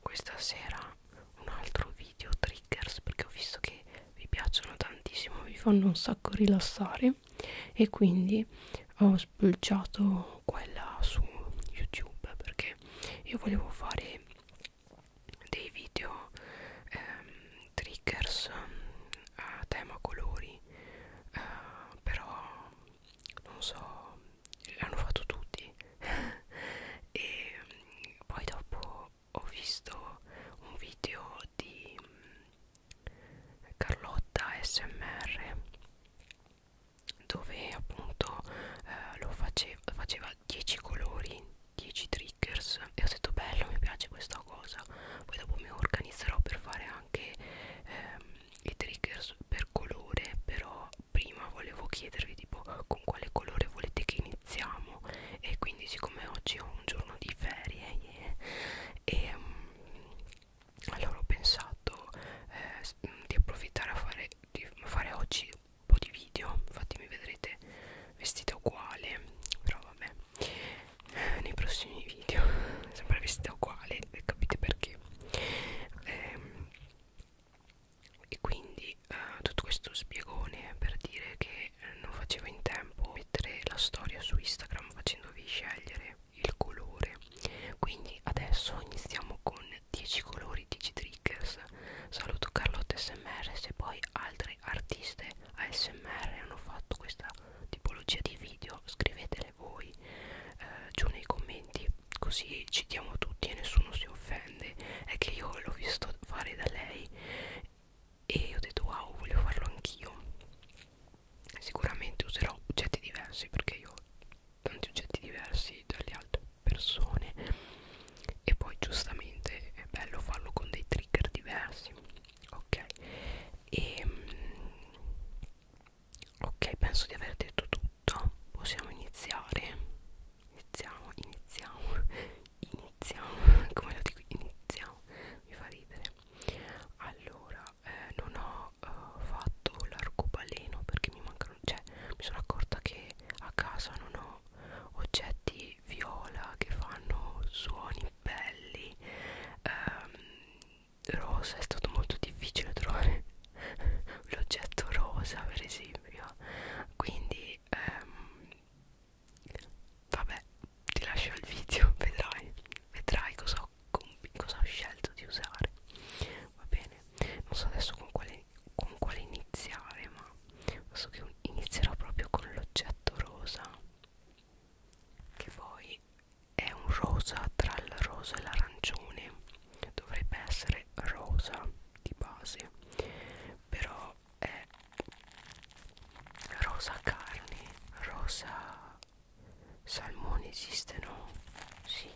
questa sera un altro video triggers perché ho visto che vi piacciono tantissimo vi fanno un sacco rilassare e quindi ho spulciato quella su youtube perché io volevo fare dei video ehm, triggers a tema colori eh, però non so l'hanno fatto tutti e mm, poi dopo ho visto un video di mm, Carlotta SMR dove appunto eh, lo faceva, faceva 10 colori 10 triggers e ho detto bello mi piace questa cosa poi dopo mi organizzerò per fare anche ehm, i triggers per colore però prima volevo chiedervi tipo con quale colore volete che iniziamo e quindi siccome oggi ho un giorno di ferie yeah, e um, allora ho pensato eh, mm, di approfittare a fare, di fare oggi un po' di video infatti mi vedrete vestita uguale però vabbè eh, nei prossimi video sempre vestita uguale capite perché eh, e quindi eh, tutto questo spiegone per dire che eh, non facevo in tempo a mettere la storia su Instagram facendovi scegliere il colore quindi adesso iniziamo con 10 colori 10 triggers saluto Carlotta smr se poi altre artiste ASMR hanno fatto questa tipologia di video scrivetele voi eh, giù nei commenti così ci diamo tutti e nessuno si offende è che io l'ho visto fare da lei e ho detto wow voglio farlo anch'io sicuramente userò oggetti diversi perché io ho tanti oggetti diversi dalle altre persone e poi giustamente è bello farlo con dei trigger diversi ok e ehm, ok penso di aver detto tutto tutto possiamo iniziare iniziamo iniziamo iniziamo come lo dico iniziamo mi fa ridere allora eh, non ho eh, fatto l'arcobaleno perché mi mancano cioè mi sono accorta che a casa non ho oggetti viola che fanno suoni belli ehm, rosa è stato molto difficile trovare l'oggetto rosa per esempio quindi ehm, vabbè ti lascio il video vedrai vedrai cosa ho, cosa ho scelto di usare va bene non so adesso con quale, con quale iniziare ma so che inizierò proprio con l'oggetto rosa che poi è un rosa tra il rosa e l'arancione dovrebbe essere rosa di base però è rosa carne rosa salmone esiste no? sì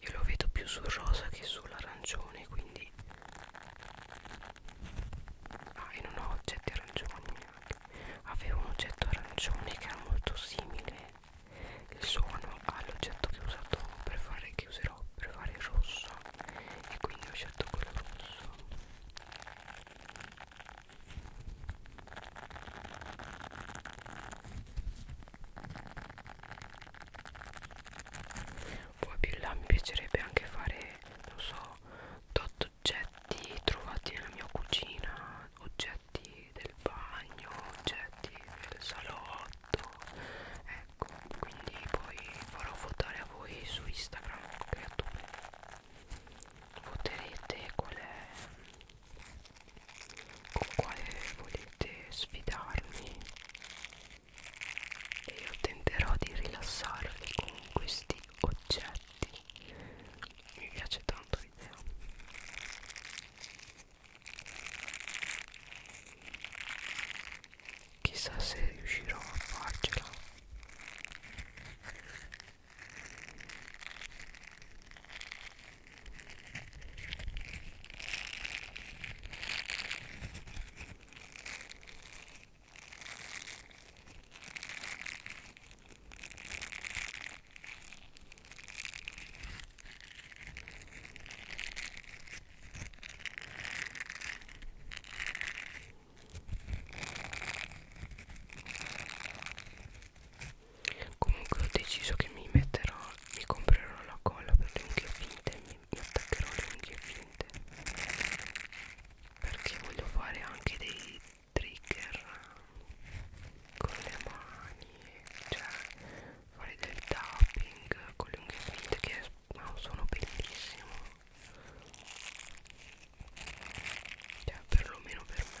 io lo vedo più sul rosa che sull'arancione quindi ah e non ho oggetti arancioni neanche avevo un oggetto arancione che era molto simile il suono all'oggetto che ho usato per fare che userò per fare il rosso e quindi ho scelto quello rosso poi più in là mi piacerebbe anche fare non so tot oggetti trovati nella mia cucina oggetti del bagno oggetti del salotto ecco quindi poi farò votare a voi su instagram creature voterete qual è con quale volete sfidarmi e io tenterò di rilassarvi con questi oggetti mi piace tanto l'idea chissà se riuscirò a farcela Comunque ho deciso che mi metterò, mi comprerò la colla per le unghie finte e mi mi attaccherò le unghie finte perché voglio fare anche dei trigger con le mani cioè fare del tapping con le unghie finte che ha un suono bellissimo cioè perlomeno per me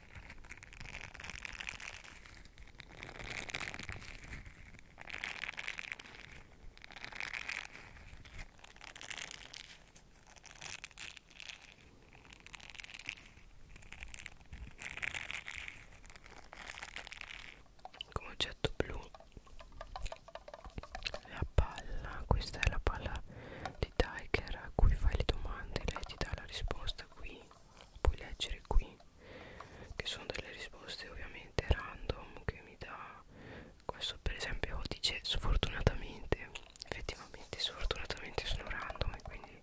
come oggetto blu la palla questa è la palla di Tiger a cui fai le domande lei ti dà la risposta risposta qui puoi leggere qui che sono delle risposte ovviamente random che mi dà questo per esempio dice sfortunatamente effettivamente sfortunatamente sono random e quindi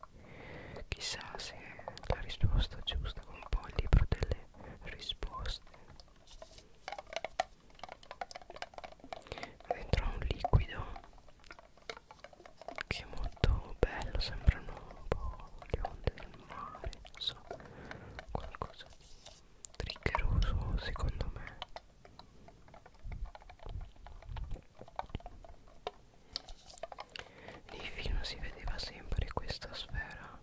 chissà se è la risposta giusta con un po' il libro delle risposte dentro un liquido che è molto bello sembrano un po' le onde del mare non so qualcosa di triggeroso secondo me nei film si vedeva sempre questa sfera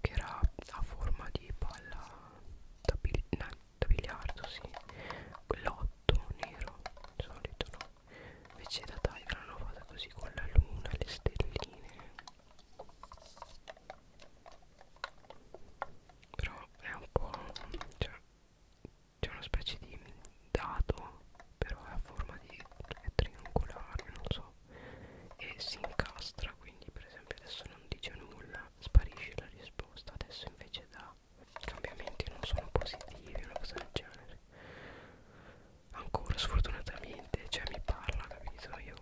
che era a forma di palla da, bil da biliardo, sì, quell'otto nero, di solito no? invece da Tiger l'hanno fatta così con la luna le stelline però è un po' cioè c'è una specie di dado però è a forma di è triangolare non so e si incastra quindi per esempio adesso non dice nulla sparisce la risposta adesso invece da realtà i cambiamenti non sono positivi, una cosa del genere. Ancora sfortunatamente, cioè mi parla, capito? Io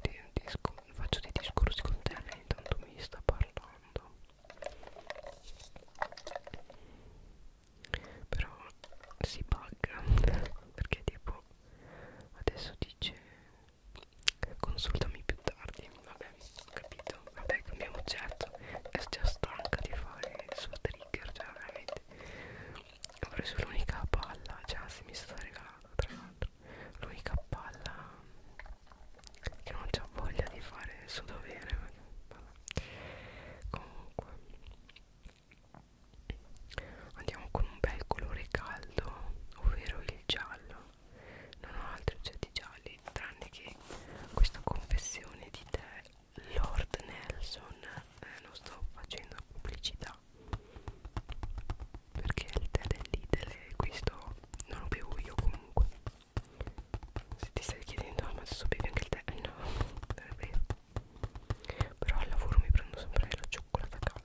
di, di, faccio dei discorsi con te, lei intanto mi sta parlando. Però si bugga perché tipo adesso dice consultami più tardi vabbè ho capito vabbè cambiamo certo è già stanca di fare il suo trigger cioè veramente ho preso l'unica palla cioè anzi mi sta regalando tra l'altro l'unica palla che non c'ha voglia di fare il suo dovere vabbè. comunque andiamo con un bel colore caldo ovvero il giallo non ho altri oggetti gialli mondiali tranne che questa confessione di te Lord Nelson eh, non sto facendo pubblicità perché il tè dell'Idele e questo non lo bevo io comunque se ti stai chiedendo ah, ma adesso bevi anche il tè eh, no non è vero però al lavoro mi prendo sempre la cioccolata calda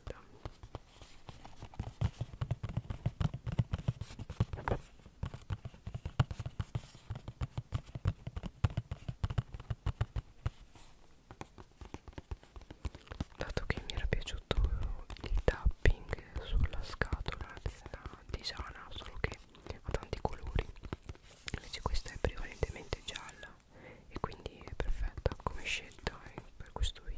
dato che mi era piaciuto il tapping sulla scatola della tisana solo che ha tanti colori invece questa è prevalentemente gialla e quindi è perfetta come scelta eh, per questo video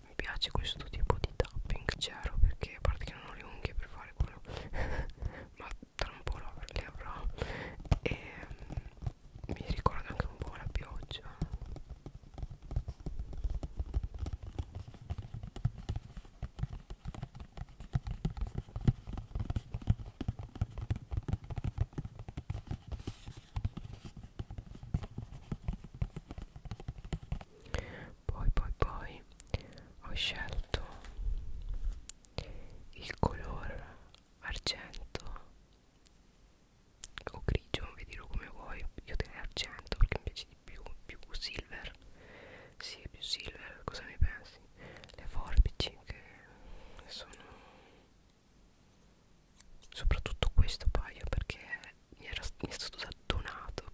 Mi piace questo tipo di tapping zero perché a parte che non ho le unghie per fare quello ma tra un po' le avrò e mm, mi ricorda anche un po' la pioggia poi poi poi ho scelto il color argento o grigio, vedilo come vuoi, io te ne argento perché mi piace di più, più silver sì, Silver, cosa ne pensi? Le forbici che sono soprattutto questo paio perché mi, era, mi è stato donato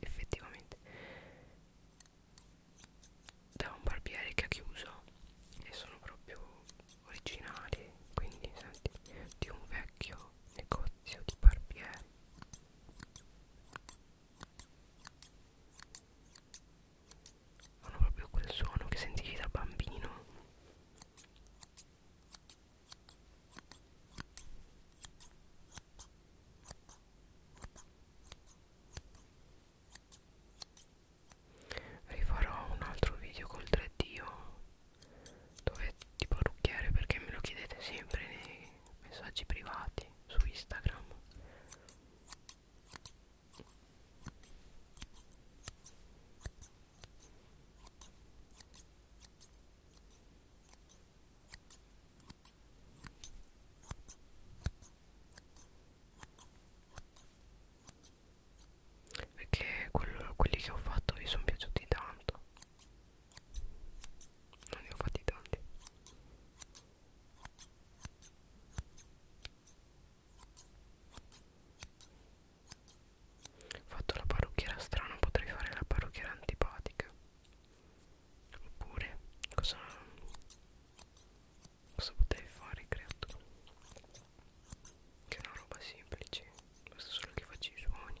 effettivamente da un barbiere che ha chiuso e sono proprio originali quindi senti di un vecchio negozio di barbieri Fanno proprio quel suono che sentivi da bambino Rifarò un altro video col 3D dove ti parrucchiare perché me lo chiedete sempre nei messaggi privati su Instagram perché quello, quelli che ho fatto vi sono piaciuti tanto non ne ho fatti tanti fatto la parrucchiera strana potrei fare la parrucchiera antipatica oppure cosa cosa potrei fare creatura che è una roba semplice basta solo che faccio i suoni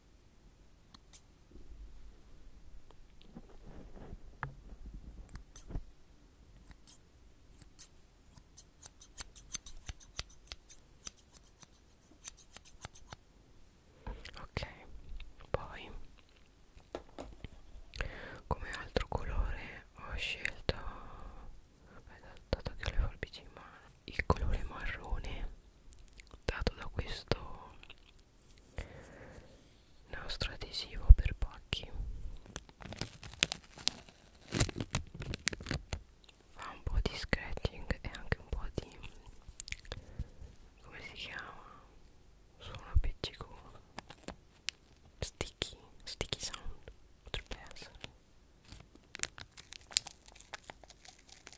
Ok, poi come altro colore ho scelto, beh, dato che ho le forbici in mano, il colore marrone dato da questo nastro adesivo per pacchi fa un po' di scratching e anche un po' di come si chiama suono appiccicoso sticky sticky sound potrebbe essere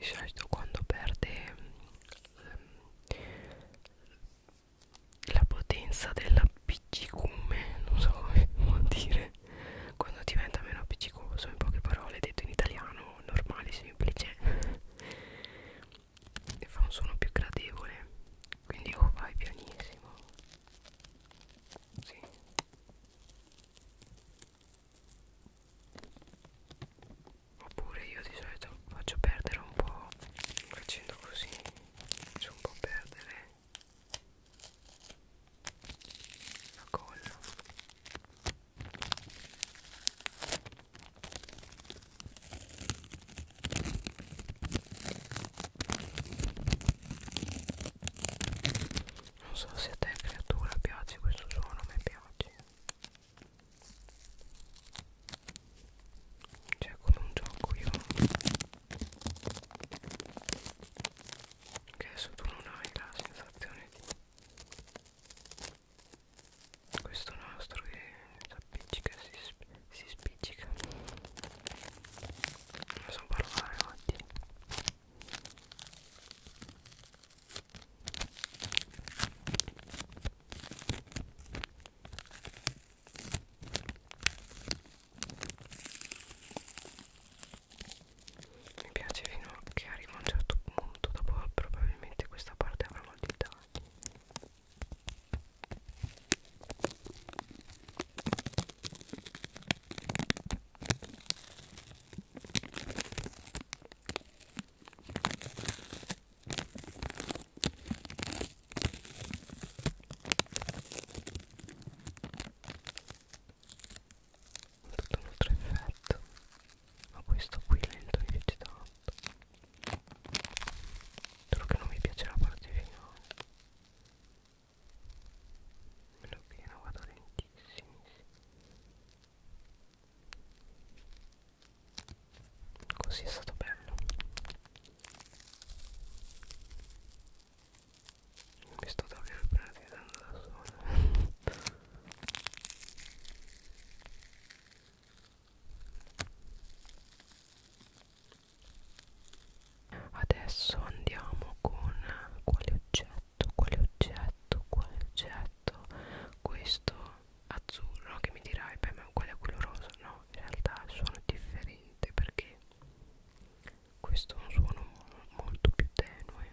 di solito quando perde um, la potenza della piccicume non so come vuol dire quando diventa meno appiccicoso in poche parole detto in italiano normale semplice e fa un suono più gradevole quindi o oh, vai pianissimo sì. oppure io di solito faccio perdere un po' facendo così faccio un po' perdere la colla non so se a te creatura piace questo suono, a me piace cioè come un gioco io che adesso tu non hai la sensazione di questo nastro che appiccica, si, si spiccica. Non so parlare oggi. Mi piace fino che arriva a un certo punto, dopo probabilmente questa parte avrà molti tagli tutto un altro effetto ma questo qui lento mi piace tanto Solo che non mi piace la parte finale. Meno che non vado lentissimi. Così è stato bello. Mi sto davvero pratizzando da sola adesso andiamo con quale oggetto quale oggetto quale oggetto questo azzurro che mi dirai beh ma quello è quello rosa no in realtà il suono è differente perché questo è un suono molto più tenue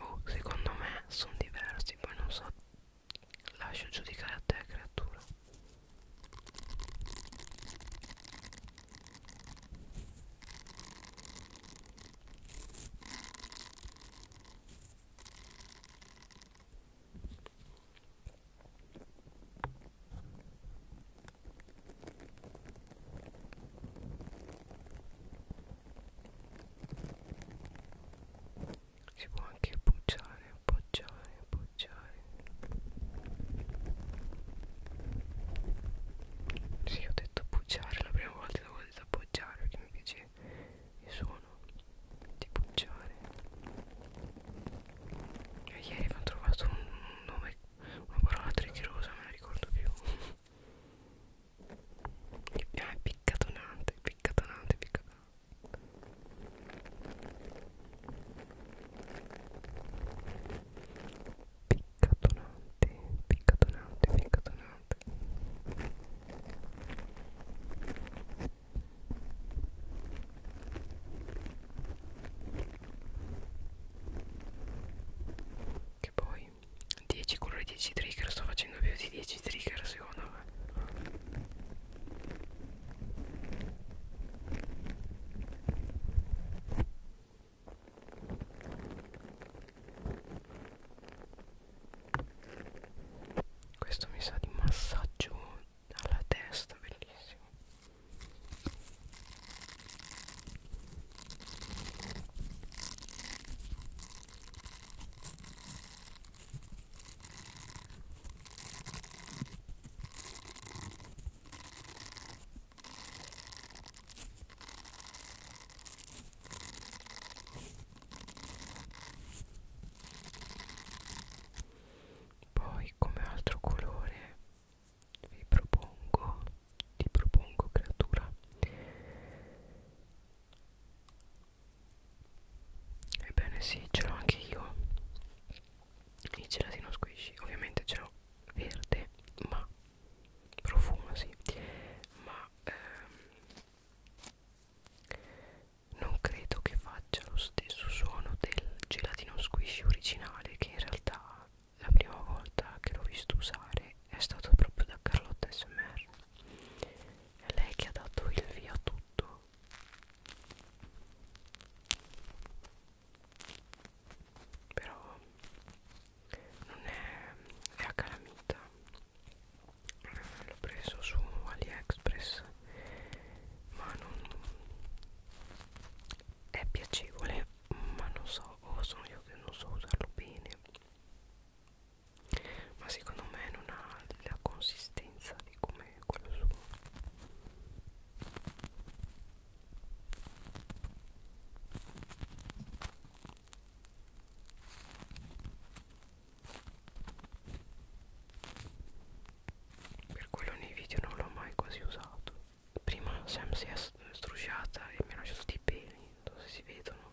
Oh, secondo me sono diversi, poi non so. Lascio giudicare a te, creatura si può anche appoggiare appoggiare appoggiare sì ho detto appoggiare la prima volta dopo ho detto appoggiare perché mi piace il suono di appoggiare e ieri avevano trovato un nome una parola triggerosa non me la ricordo più Ah, è piccatonante, piccatonante, piccatonante. Piccatonante, piccatonante, piccatonante. Che poi 10 colori 10 trigger sto facendo più di 10 trigger secondo me questo mi sa di massaggio alla testa bellissimo poi come altro colore vi propongo ti propongo creatura ebbene sì ce l'ho anche io il gelatino squishy ovviamente ce l'ho verde ma profumo sì ma ehm, non credo che faccia lo stesso suono del gelatino squishy originale che in realtà la prima volta che l'ho visto usare è stato proprio da Carlotta SMR è lei che ha dato il via a tutto. Però non è, è a calamita. L'ho preso su AliExpress, ma non è piacevole, ma non so, o oh, sono io che non so usarlo bene ma secondo me non ha la consistenza di come quello suo per quello nei video non l'ho mai quasi usato prima Sam si è strusciata e mi ha lasciato dei peli non so se si vedono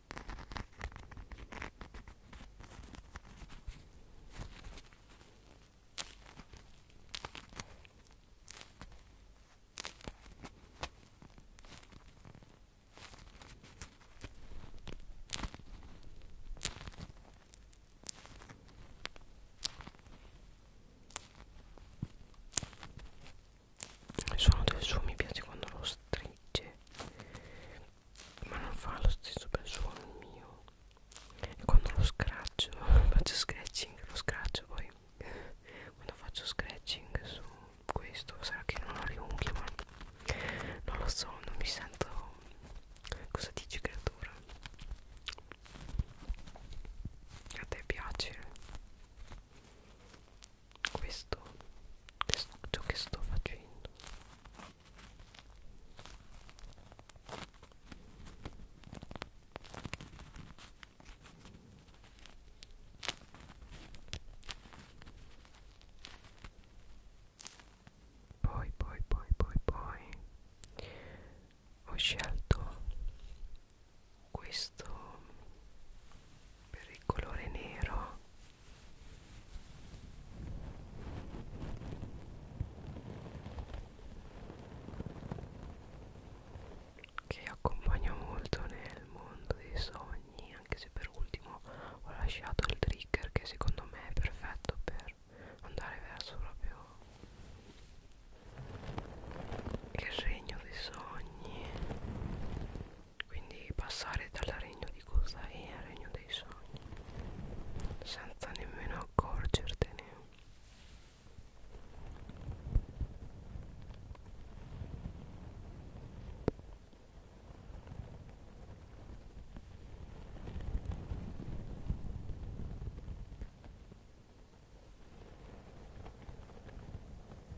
il suono del suo mi piace quando lo strigge ma non fa lo stesso bel suono mio e quando lo scratcio faccio scratching lo scratcio poi quando faccio scratching su questo sarà che non ho le unghie ma non lo so non mi sento cosa dici creatura a te piace questo, questo ciò che sto facendo poi poi poi poi poi ho scelto questo per il colore nero che accompagna molto nel mondo dei sogni anche se per ultimo ho lasciato il trigger che secondo me è perfetto per andare verso proprio il regno dei sogni quindi passare dal regno di Kusai al regno dei sogni senza nemmeno accorgertene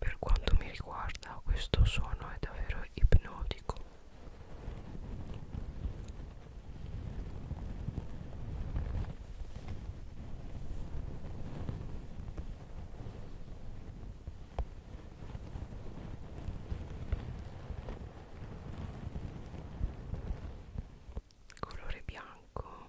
Per quanto mi riguarda questo suono è davvero ipnotico colore bianco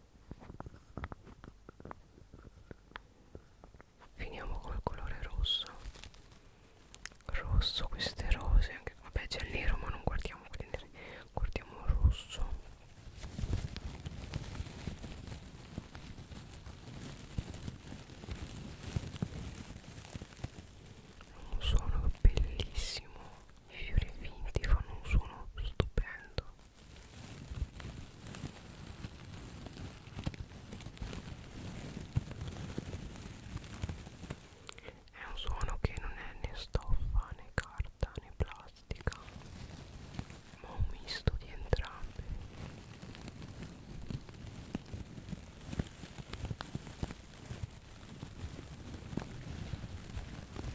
finiamo col colore rosso rosso queste rose anche, vabbè c'è il nero ma non guardiamo quelli neri guardiamo il rosso un suono bellissimo i fiori finti fanno un suono stupendo è un suono che non è né stoffa né carta né plastica ma un misto di entrambi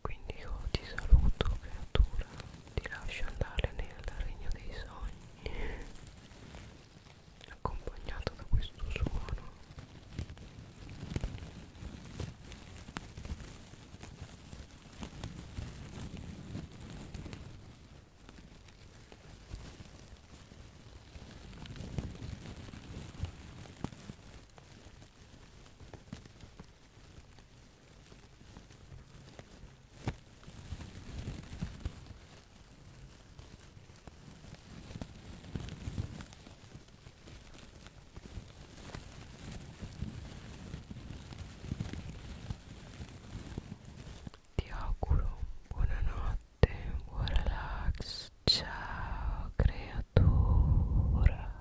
Quindi io ti saluto creatura, ti lascio andare nel regno dei sogni, accompagnato da questo suono. Ciao ti auguro buonanotte, buon relax, ciao creatura.